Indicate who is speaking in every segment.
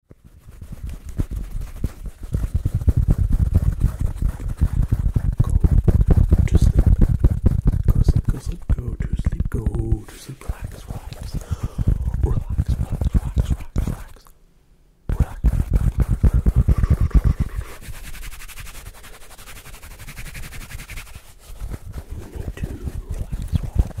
Speaker 1: Go to sleep. Go sleep, go sleep, go to sleep, go to sleep. Relax, relax. Relax, relax, relax, relax, relax. Relax. You need to relax, relax.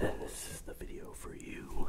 Speaker 1: And this is the video for you.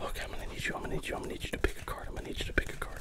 Speaker 1: Okay, I'm gonna need you, I'm gonna need you, I'm gonna need you to pick a card. I'm gonna need you to pick a card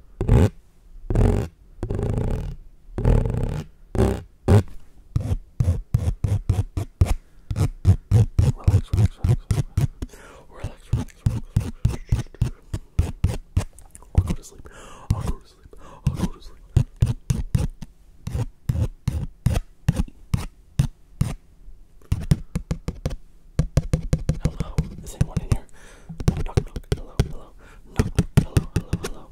Speaker 1: relax, relax, relax, relax, relax. I'll go to sleep. I'll go to sleep. I'll go to sleep. Hello. Is anyone in here? Knock, knock, knock. Hello, hello. Knock, hello, hello, hello.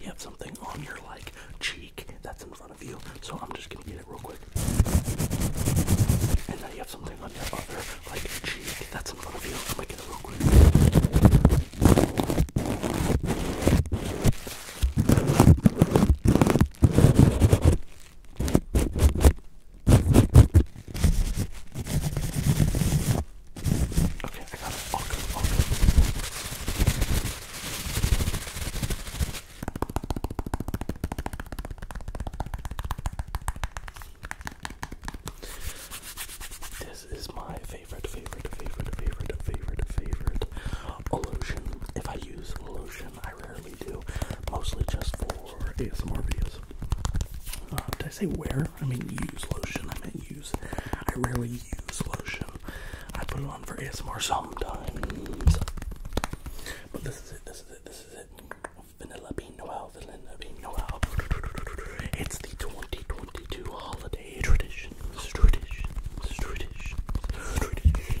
Speaker 1: You have something on your like cheek that's in front of you, so I'm just gonna get it real quick. And now you have something on your other like cheek that's in front of you. I'm gonna get it real quick. Okay, I got it. All This is my favorite, favorite, favorite, favorite, favorite, favorite lotion. If I use lotion, I rarely do. Mostly just for for ASMR videos. Uh, did I say wear? I mean use lotion. I mean use. I rarely use lotion. I put it on for ASMR sometimes. But this is it. This is it. This is it. Vanilla Bean Noel. Vanilla Bean Noel. It's the 2022 holiday traditions. Traditions. Traditions. Traditions.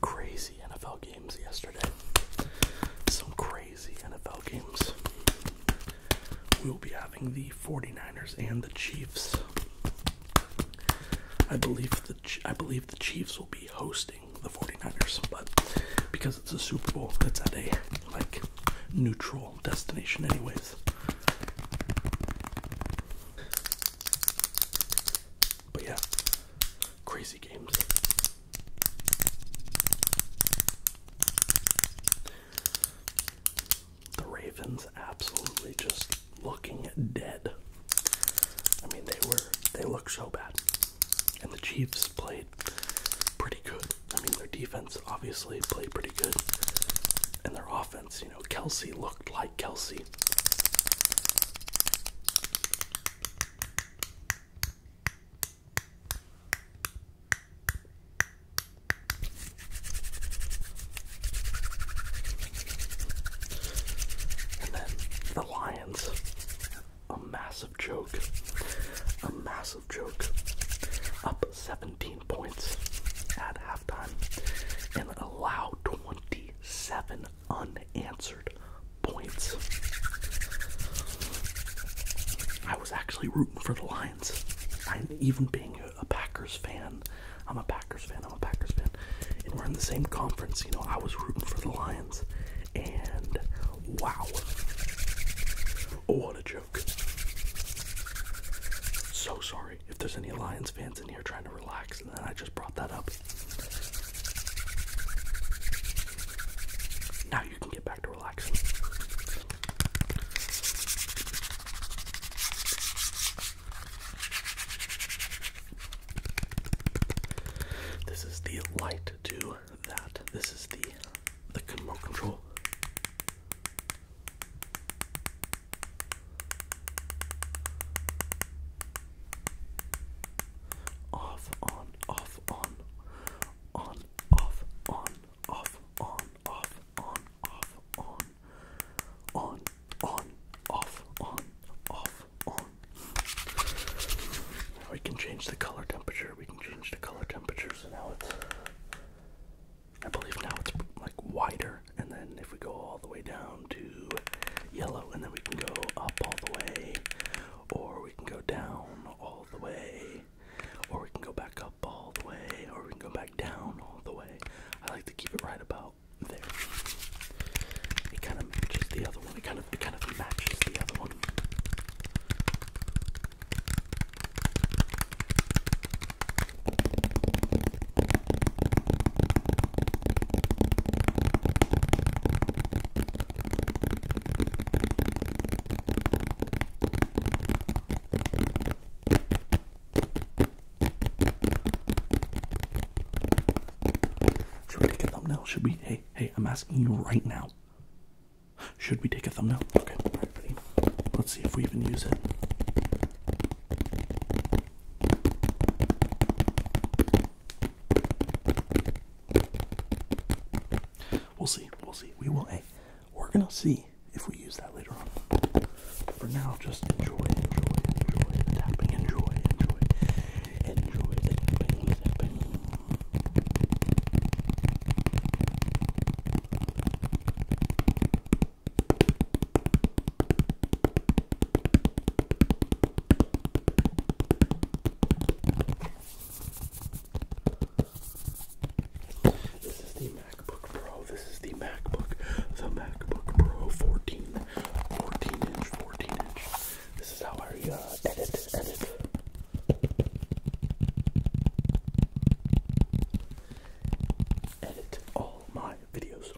Speaker 1: Crazy NFL games yesterday. Some crazy NFL games. We'll be having the 49ers and the Chiefs. I believe the I believe the Chiefs will be hosting the 49ers, but because it's a Super Bowl, that's at a like neutral destination anyways. But yeah, crazy games. The Ravens absolutely just looking dead. I mean, they were, they looked so bad. And the Chiefs played pretty good. I mean, their defense obviously played pretty good. And their offense you know, Kelsey looked like Kelsey. And then the Lions. A massive joke. A massive joke. Up 17 points at halftime and allow 27 unanswered points. I was actually rooting for the Lions. I am even being a Packers fan, I'm a Packers fan, I'm a Packers fan, and we're in the same conference, you know, I was rooting for the Lions. And wow. Oh, what a joke. So sorry if there's any Lions fans in here trying to relax, and then I just brought that up. Now you can get back to relaxing. This is the light to that. This is the the remote control. Off, on, off, on, on, off, on, off, on, off, on, off, on, on, on, off, on, off, on. we can change the color temperature. We can change the color temperature. So now it's I believe now it's like wider, and then if we go all the way down to yellow, and then we can go up all the way, or we can go down all the way, or we can go back up all the way, or we can go back down all the way. I like to keep it right about there. It kind of matches the other one. It kind of it kind of matches the other one. Should we take a thumbnail? Should we? Hey, hey, I'm asking you right now. Should we take a thumbnail? Okay, right, let's see if we even use it. We'll see. We'll see. We will. Hey, we're gonna see if we use that later on. For now, just enjoy, enjoy, enjoy the tapping. Enjoy, enjoy, enjoy the tapping. The tapping. This is the MacBook Pro. This is the MacBook, the MacBook Pro 14, 14 inch, 14 inch. This is how I uh, edit, edit edit all my videos.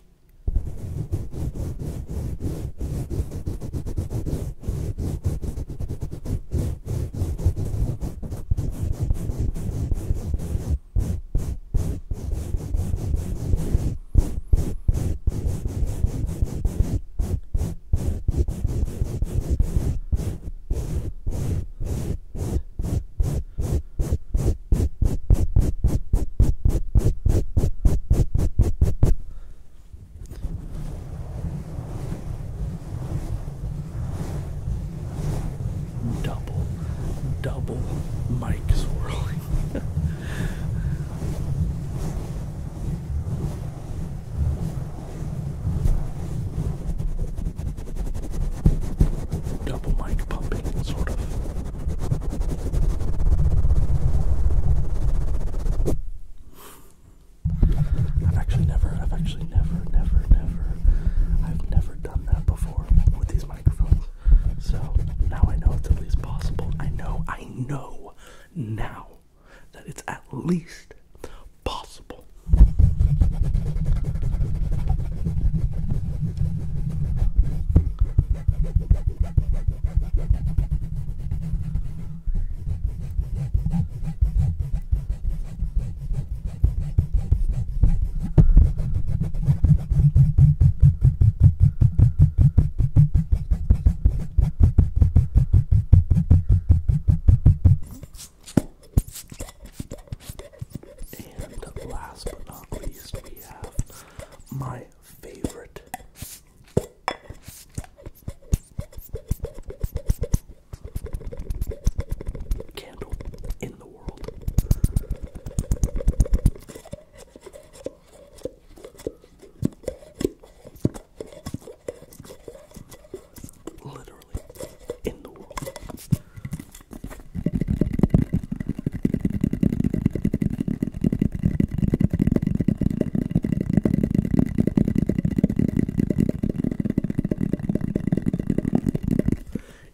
Speaker 1: Double, double mic swirling. double mic pumping, sort of. I've actually never, I've actually never, never, never, I've never done that before with these microphones. So now I know it's at least possible. I know, I know now that it's at least possible. And last but not least, we have my favorite. Candle in the world. Literally in the world.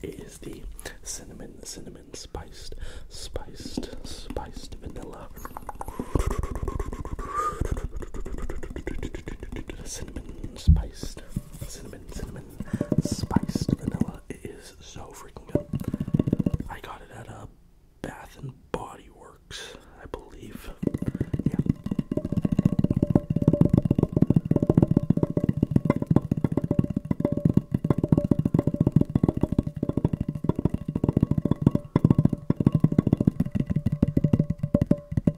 Speaker 1: It is the cinnamon, cinnamon spiced, spiced, spiced vanilla. Cinnamon, spiced. Cinnamon, cinnamon spiced vanilla. It is so freaking good. I got it at a uh, Bath and Body Works, I believe. Yeah. But,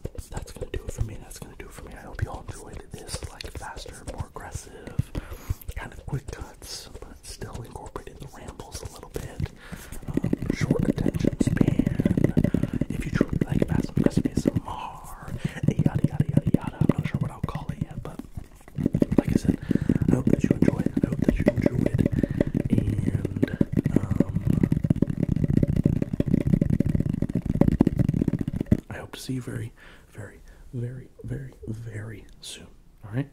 Speaker 1: that's gonna do it for me. That's gonna do it for me. I hope you all enjoyed this like faster, more aggressive, kind of quick cuts, but still incorporating the rambles a little bit. Um, short attention span. If you truly like fast and aggressive ASMR, yada yada yada yada. I'm not sure what I'll call it yet, but like I said, I hope that you enjoyed. I hope that you enjoyed, and um, I hope to see you very, very, very, very, very soon. All right.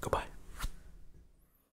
Speaker 1: Goodbye.